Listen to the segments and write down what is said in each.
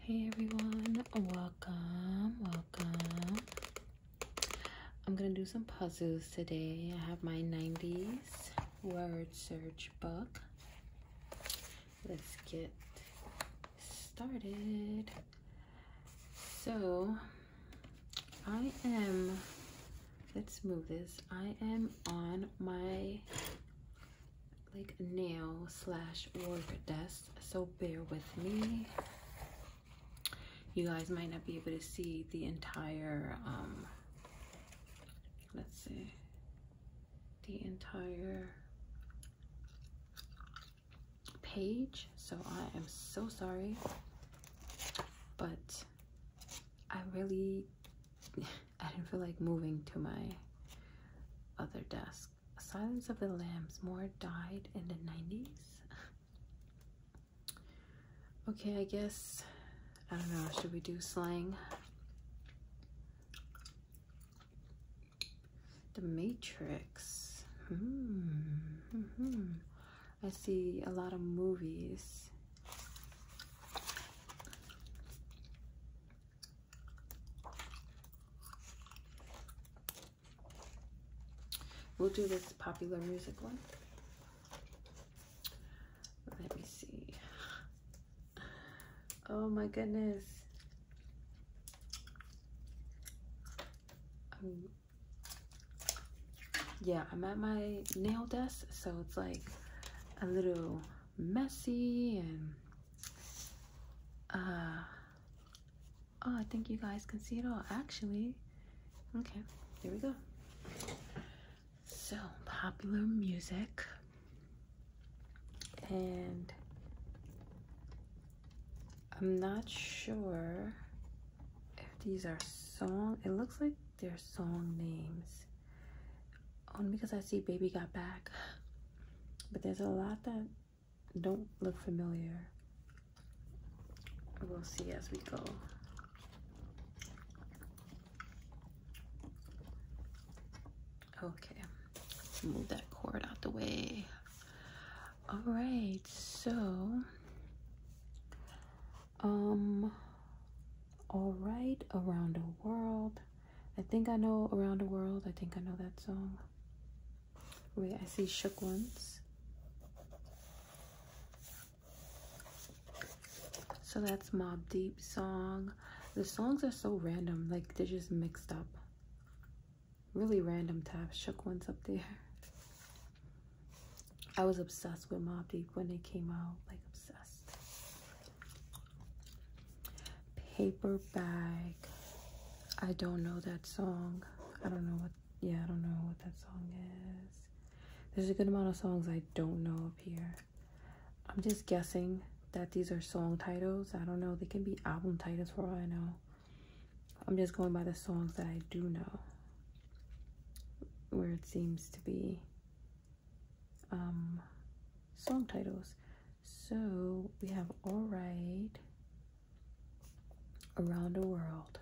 Hey everyone, welcome, welcome. I'm gonna do some puzzles today. I have my 90s word search book. Let's get started. So, I am, let's move this. I am on my like nail slash work desk so bear with me you guys might not be able to see the entire um, let's see the entire page so i am so sorry but i really i didn't feel like moving to my other desk Silence of the Lambs. Moore died in the 90s. okay, I guess. I don't know. Should we do slang? The Matrix. -hmm. hmm, hmm. I see a lot of movies. We'll do this popular music one. Let me see. Oh my goodness. Um, yeah, I'm at my nail desk, so it's like a little messy and uh, oh I think you guys can see it all actually okay here we go so popular music and I'm not sure if these are song it looks like they're song names only because I see baby got back but there's a lot that don't look familiar. We'll see as we go. Okay, let's move that cord out the way. All right, so, um, all right, around the world. I think I know Around the World. I think I know that song. Wait, I see Shook Ones. So that's Mob Deep song. The songs are so random, like they're just mixed up. Really random tabs. Shook Ones up there. I was obsessed with Mob Deep when they came out, like obsessed paper bag i don't know that song i don't know what yeah i don't know what that song is there's a good amount of songs i don't know up here i'm just guessing that these are song titles i don't know they can be album titles for all i know i'm just going by the songs that i do know where it seems to be um song titles. So we have All Right, Around the World.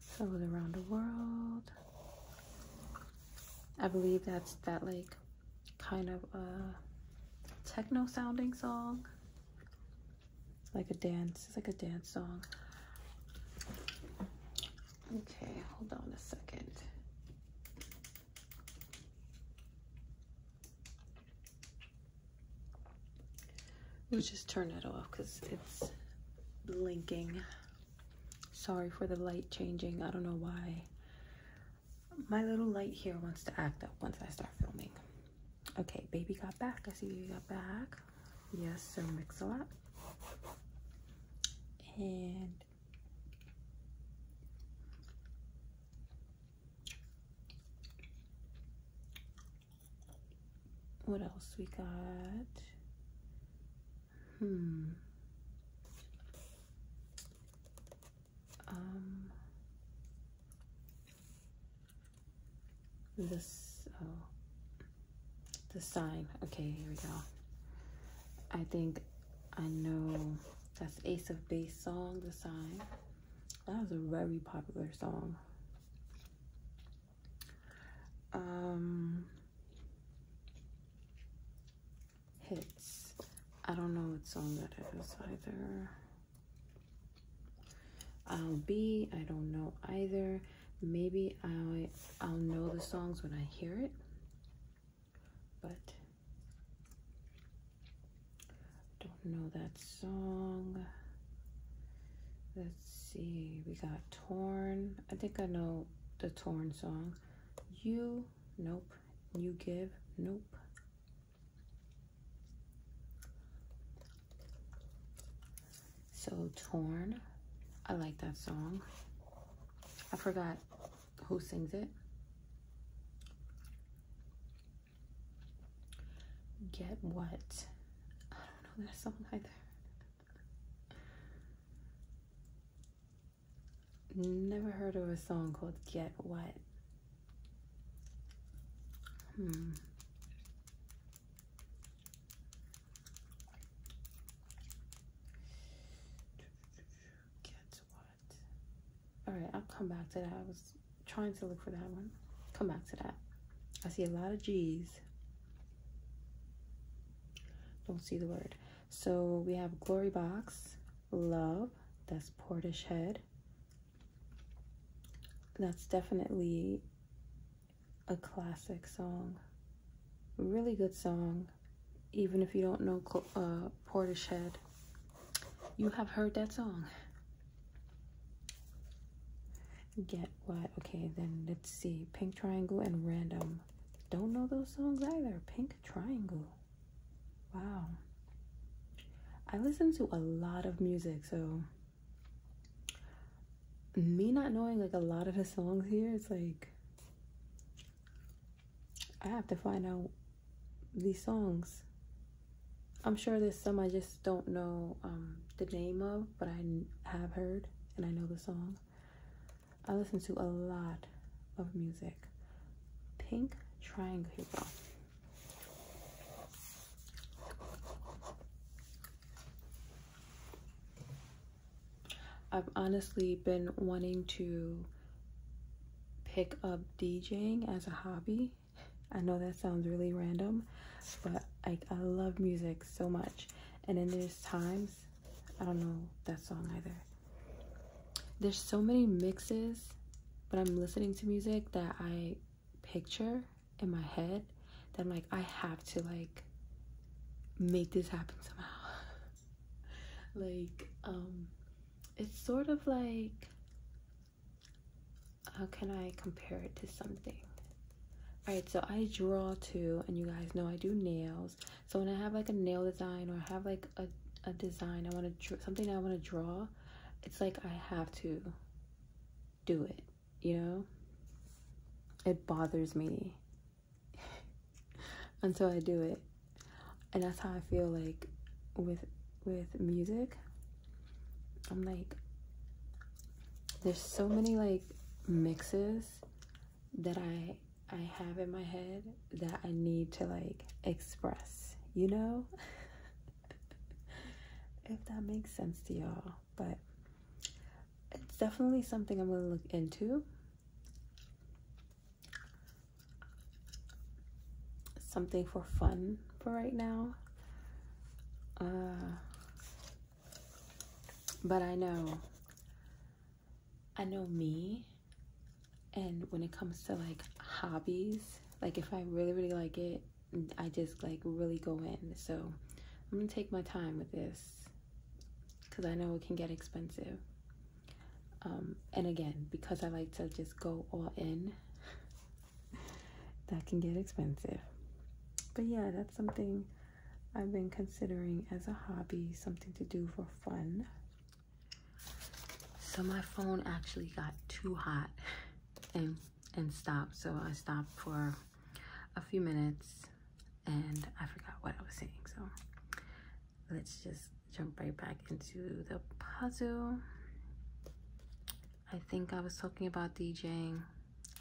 So Around the World. I believe that's that like kind of a techno sounding song. It's Like a dance, it's like a dance song. Okay, hold on a second. Let's just turn that off because it's blinking. Sorry for the light changing. I don't know why. My little light here wants to act up once I start filming. Okay, baby got back. I see you got back. Yes, so mix a lot. And what else we got? Hmm. Um, this, oh, the sign. Okay, here we go. I think I know that's Ace of Base song, The Sign. That was a very popular song. Um, hits. I don't know what song that is either. I'll be, I don't know either. Maybe I, I'll know the songs when I hear it but don't know that song. Let's see, we got Torn. I think I know the Torn song. You, nope. You Give, nope. So Torn, I like that song. I forgot who sings it. Get what? I don't know that song either. Never heard of a song called Get What. Hmm. Get what? all right, I'll come back to that. I was trying to look for that one. Come back to that. I see a lot of G's. Don't see the word. So we have Glory Box, Love, that's Portish Head. That's definitely a classic song. Really good song, even if you don't know uh, Portish Head you have heard that song. Get what? Okay, then let's see. Pink Triangle and Random. Don't know those songs either. Pink Triangle. Wow. I listen to a lot of music, so me not knowing like a lot of his songs here, it's like I have to find out these songs. I'm sure there's some I just don't know um, the name of, but I have heard and I know the song. I listen to a lot of music. Pink Triangle. I've honestly been wanting to pick up DJing as a hobby. I know that sounds really random, but I, I love music so much. And then there's times, I don't know that song either. There's so many mixes but I'm listening to music that I picture in my head that I'm like, I have to like make this happen somehow. like, um, it's sort of like how can I compare it to something? Alright, so I draw too, and you guys know I do nails. So when I have like a nail design or I have like a, a design, I want to something I want to draw, it's like I have to do it, you know? It bothers me until I do it and that's how I feel like with with music. I'm like there's so many like mixes that I I have in my head that I need to like express, you know? if that makes sense to y'all, but it's definitely something I'm going to look into something for fun for right now. Uh, but I know, I know me. And when it comes to like hobbies, like if I really, really like it, I just like really go in. So I'm gonna take my time with this because I know it can get expensive. Um, and again, because I like to just go all in, that can get expensive. But yeah, that's something I've been considering as a hobby, something to do for fun. So my phone actually got too hot and and stopped. So I stopped for a few minutes and I forgot what I was saying. So let's just jump right back into the puzzle. I think I was talking about DJing.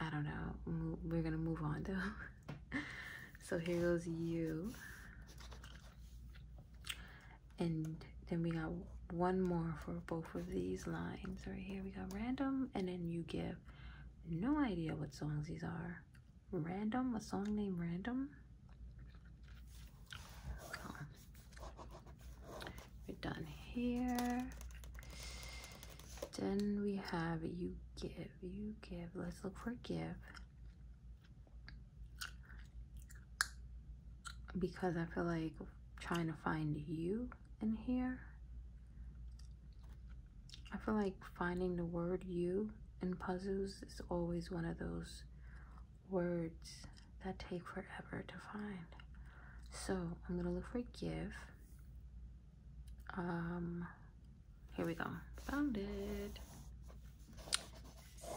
I don't know. We're gonna move on though. so here goes you. And then we got one more for both of these lines right here. We got random and then you give no idea what songs these are. Random, a song named Random. We're done here. Then we have you give, you give. Let's look for give. Because I feel like trying to find you in here. I feel like finding the word you in puzzles is always one of those words that take forever to find. So I'm gonna look for give. Um, here we go. Found it.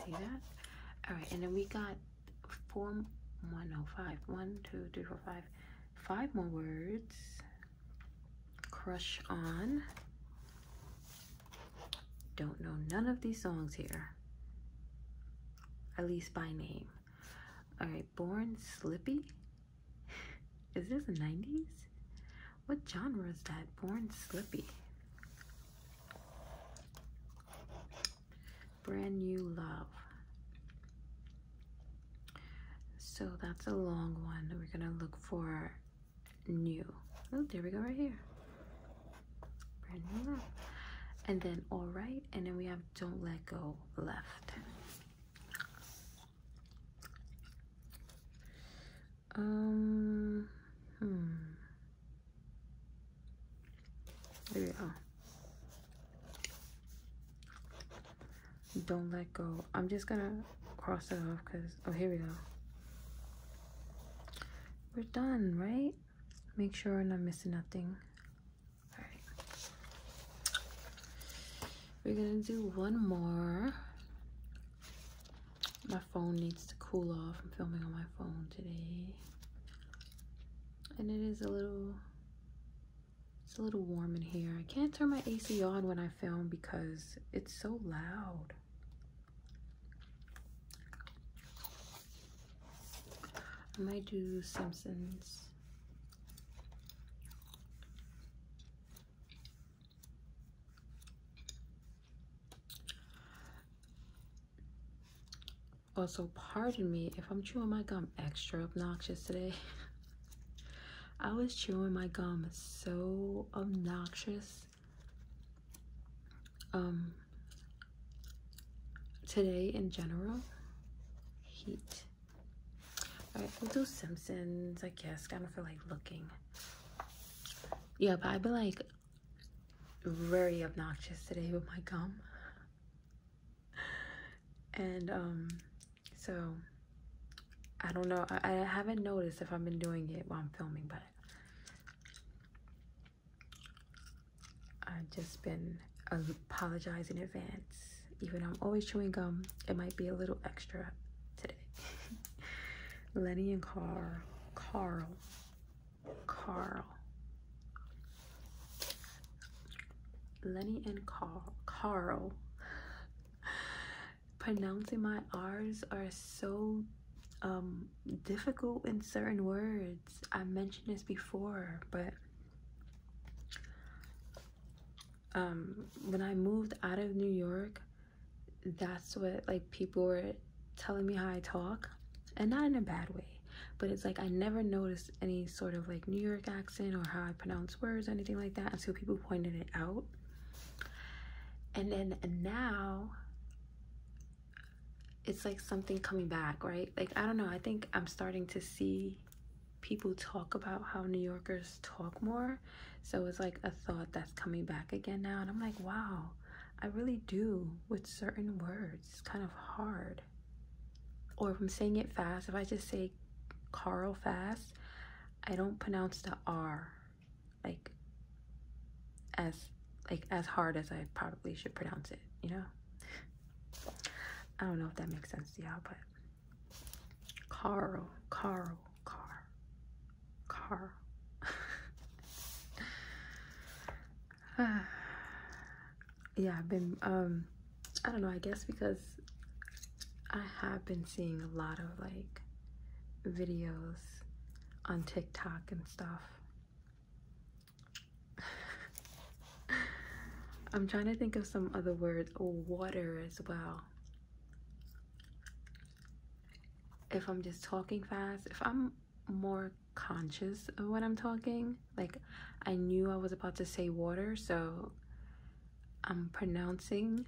See that? All right, and then we got form 105. One, two, three, four, five. Five more words. Crush on. Don't know none of these songs here at least by name. All right, Born Slippy? Is this the 90s? What genre is that? Born Slippy. Brand New Love. So that's a long one. We're gonna look for new. Oh, there we go right here and then all right and then we have don't let go left um hmm there we go don't let go i'm just gonna cross it off because oh here we go we're done right make sure I'm not missing nothing. Alright. We're gonna do one more. My phone needs to cool off. I'm filming on my phone today. And it is a little it's a little warm in here. I can't turn my AC on when I film because it's so loud. I might do Simpsons. Also, pardon me if I'm chewing my gum extra obnoxious today. I was chewing my gum so obnoxious. Um, today in general. Heat. Alright, we'll do Simpsons, I guess. Kind of feel like looking. Yeah, but I've been like very obnoxious today with my gum. And um so I don't know. I, I haven't noticed if I've been doing it while I'm filming, but I've just been apologizing in advance. Even though I'm always chewing gum, it might be a little extra today. Lenny and Carl, Carl, Carl. Lenny and Carl, Carl. Pronouncing my R's are so um, difficult in certain words. I mentioned this before, but um, when I moved out of New York, that's what like people were telling me how I talk, and not in a bad way. But it's like I never noticed any sort of like New York accent or how I pronounce words or anything like that until people pointed it out. And then now it's like something coming back, right? Like, I don't know. I think I'm starting to see people talk about how New Yorkers talk more. So it's like a thought that's coming back again now. And I'm like, wow, I really do with certain words. It's kind of hard. Or if I'm saying it fast, if I just say Carl fast, I don't pronounce the R like as like as hard as I probably should pronounce it, you know? I don't know if that makes sense to y'all, but Carl, Carl, Car, Carl. yeah, I've been, um, I don't know, I guess because I have been seeing a lot of like videos on TikTok and stuff I'm trying to think of some other words. water as well. If I'm just talking fast, if I'm more conscious of what I'm talking, like I knew I was about to say water, so I'm pronouncing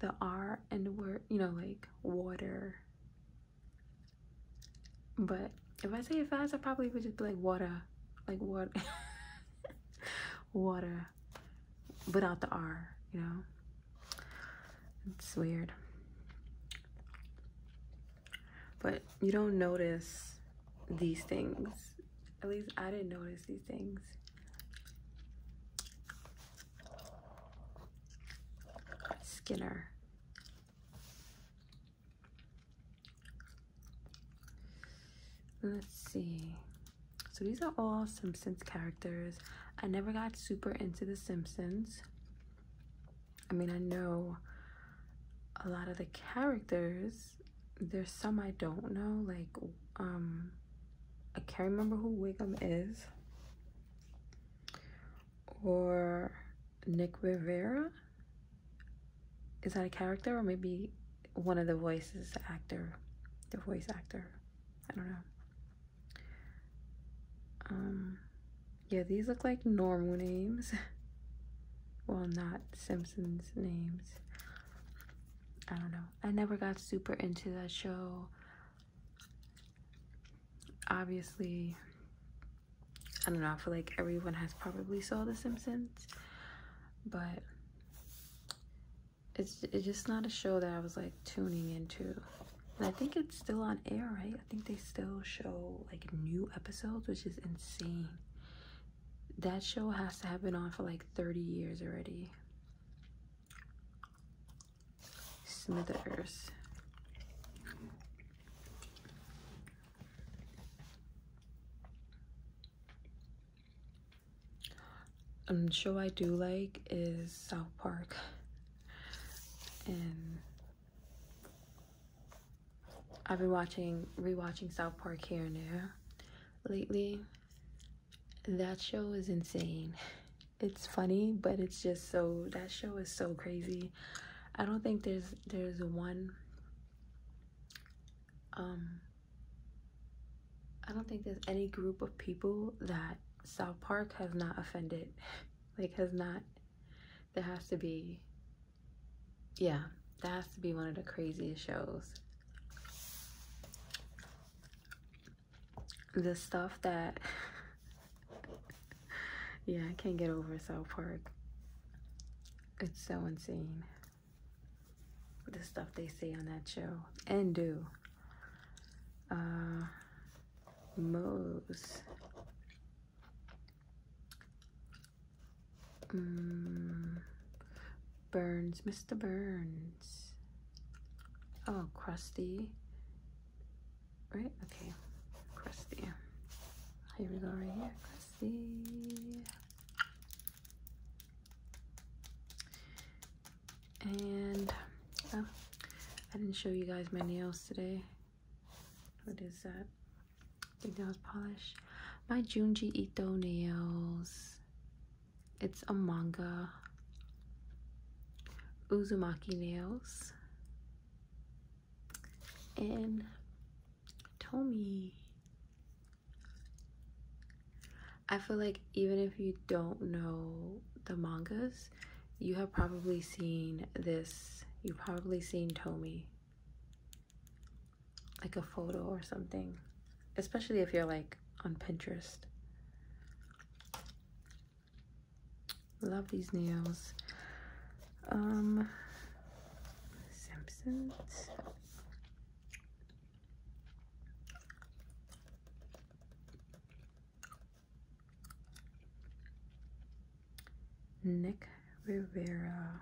the R and the word, you know, like water. But if I say it fast, I probably would just be like water, like water, water, without the R, you know? It's weird. But you don't notice these things. At least I didn't notice these things. Skinner. Let's see. So these are all Simpsons characters. I never got super into The Simpsons. I mean, I know a lot of the characters. There's some I don't know, like, um, I can't remember who Wiggum is. Or Nick Rivera is that a character or maybe one of the voices the actor the voice actor i don't know um yeah these look like normal names well not simpsons names i don't know i never got super into that show obviously I don't know, I feel like everyone has probably saw The Simpsons, but it's, it's just not a show that I was like tuning into. I think it's still on air, right? I think they still show like new episodes, which is insane. That show has to have been on for like 30 years already. Smithers. Um, show I do like is South Park and I've been watching rewatching South Park here and there lately. That show is insane. It's funny, but it's just so that show is so crazy. I don't think there's there's one um I don't think there's any group of people that South Park has not offended. like has not there has to be yeah, that has to be one of the craziest shows. The stuff that yeah, I can't get over South Park. It's so insane. The stuff they say on that show and do. Uh, Mose. Mm, Burns, Mr. Burns. Oh, Krusty. Right? Okay. Krusty. Here we go right here. Krusty. And oh, I didn't show you guys my nails today. What is that? I think that was polish. My Junji Ito nails. It's a manga. Uzumaki nails and Tomi, I feel like even if you don't know the mangas, you have probably seen this. You've probably seen Tomi, Like a photo or something. Especially if you're like on Pinterest. Love these nails. Um, Simpsons. Nick Rivera.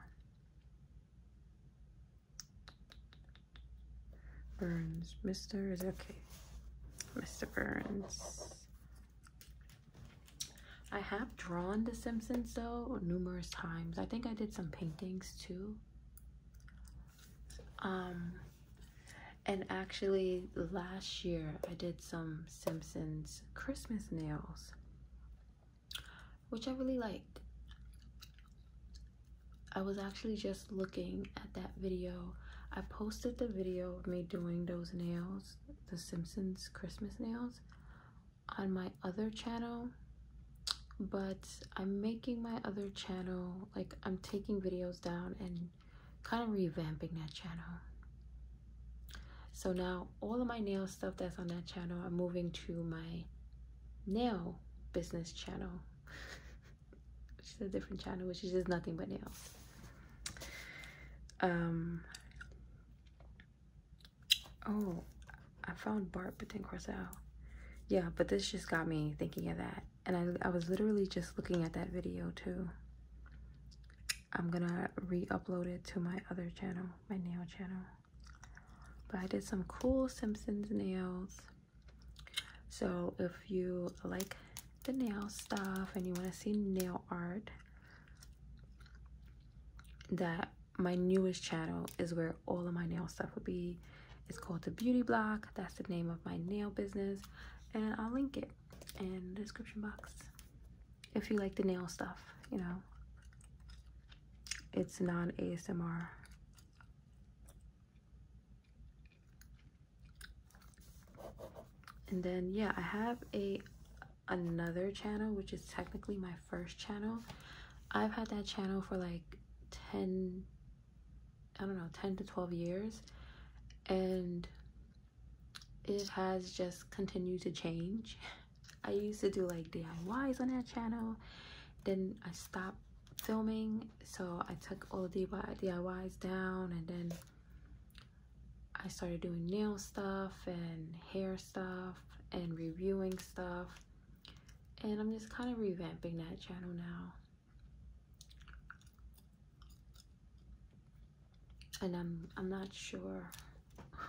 Burns. Mr. is okay. Mr. Burns. I have drawn The Simpsons though numerous times. I think I did some paintings too. Um, and actually last year I did some Simpsons Christmas nails, which I really liked. I was actually just looking at that video. I posted the video of me doing those nails, the Simpsons Christmas nails, on my other channel but I'm making my other channel like I'm taking videos down and kind of revamping that channel so now all of my nail stuff that's on that channel I'm moving to my nail business channel which is a different channel which is just nothing but nails um Oh, I found Bart but then Corsell. Yeah, but this just got me thinking of that. And I, I was literally just looking at that video too. I'm gonna re-upload it to my other channel, my nail channel. But I did some cool Simpsons nails. So if you like the nail stuff and you wanna see nail art that my newest channel is where all of my nail stuff will be. It's called The Beauty Block. That's the name of my nail business. And I'll link it in the description box if you like the nail stuff, you know. It's non-ASMR. And then, yeah, I have a another channel, which is technically my first channel. I've had that channel for like 10, I don't know, 10 to 12 years. And it has just continued to change. I used to do like DIYs on that channel. Then I stopped filming. So I took all the DIYs down and then I started doing nail stuff and hair stuff and reviewing stuff and I'm just kind of revamping that channel now. And I'm I'm not sure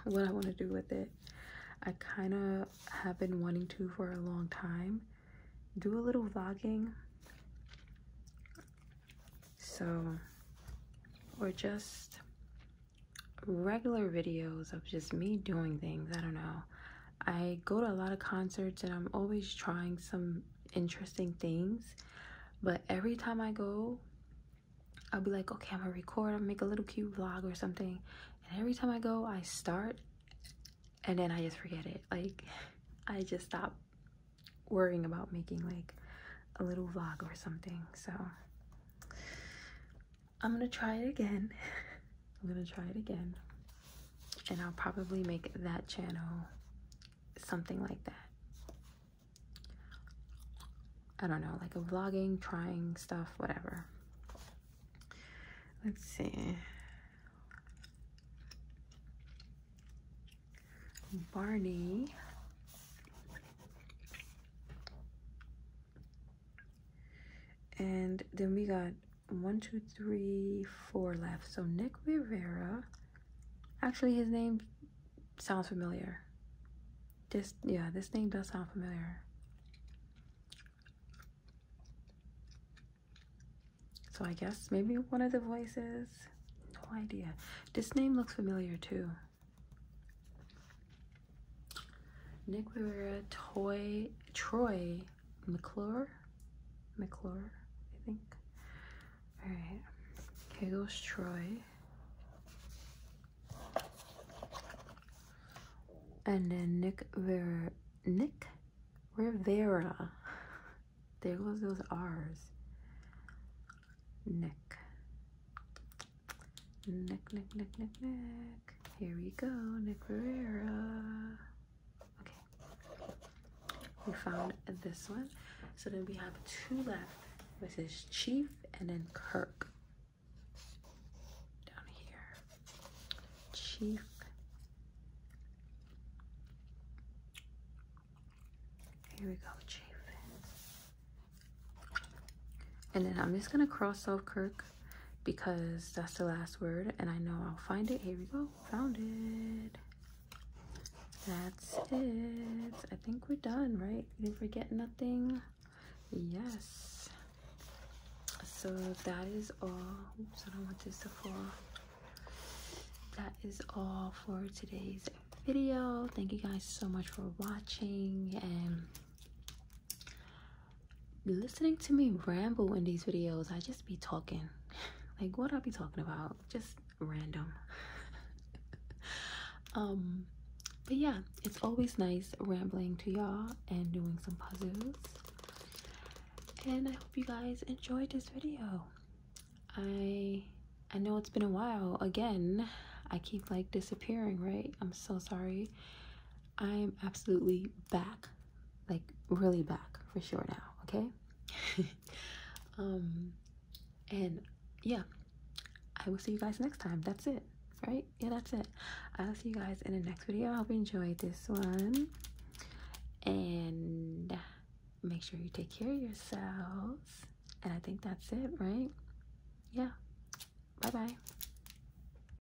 what I want to do with it. I kind of have been wanting to for a long time. Do a little vlogging. So, or just regular videos of just me doing things. I don't know. I go to a lot of concerts and I'm always trying some interesting things. But every time I go, I'll be like, okay, I'm gonna record, I'll make a little cute vlog or something. And every time I go, I start and then I just forget it. Like, I just stop worrying about making like a little vlog or something. So, I'm gonna try it again. I'm gonna try it again. And I'll probably make that channel something like that. I don't know, like a vlogging, trying stuff, whatever. Let's see. Barney and then we got one two three four left so nick rivera actually his name sounds familiar this yeah this name does sound familiar so i guess maybe one of the voices no idea this name looks familiar too Nick Rivera, Toy, Troy McClure, McClure, I think. All right, here goes Troy. And then Nick Vera, Nick Rivera. There goes those R's. Nick. Nick, Nick, Nick, Nick, Nick. Here we go, Nick Ferreira. Okay, we found this one. So then we have two left, which is Chief and then Kirk. Down here, Chief. Here we go, Chief. And then I'm just gonna cross off Kirk because that's the last word and I know I'll find it. Here we go. Found it. That's it. I think we're done, right? We didn't forget nothing. Yes. So that is all. Oops, I don't want to fall. That is all for today's video. Thank you guys so much for watching and listening to me ramble in these videos i just be talking like what i be talking about just random um but yeah it's always nice rambling to y'all and doing some puzzles and i hope you guys enjoyed this video i i know it's been a while again i keep like disappearing right i'm so sorry I'm absolutely back, like really back for sure now, okay? um, and yeah, I will see you guys next time. That's it, right? Yeah, that's it. I'll see you guys in the next video. I hope you enjoyed this one. And make sure you take care of yourselves. And I think that's it, right? Yeah. Bye-bye.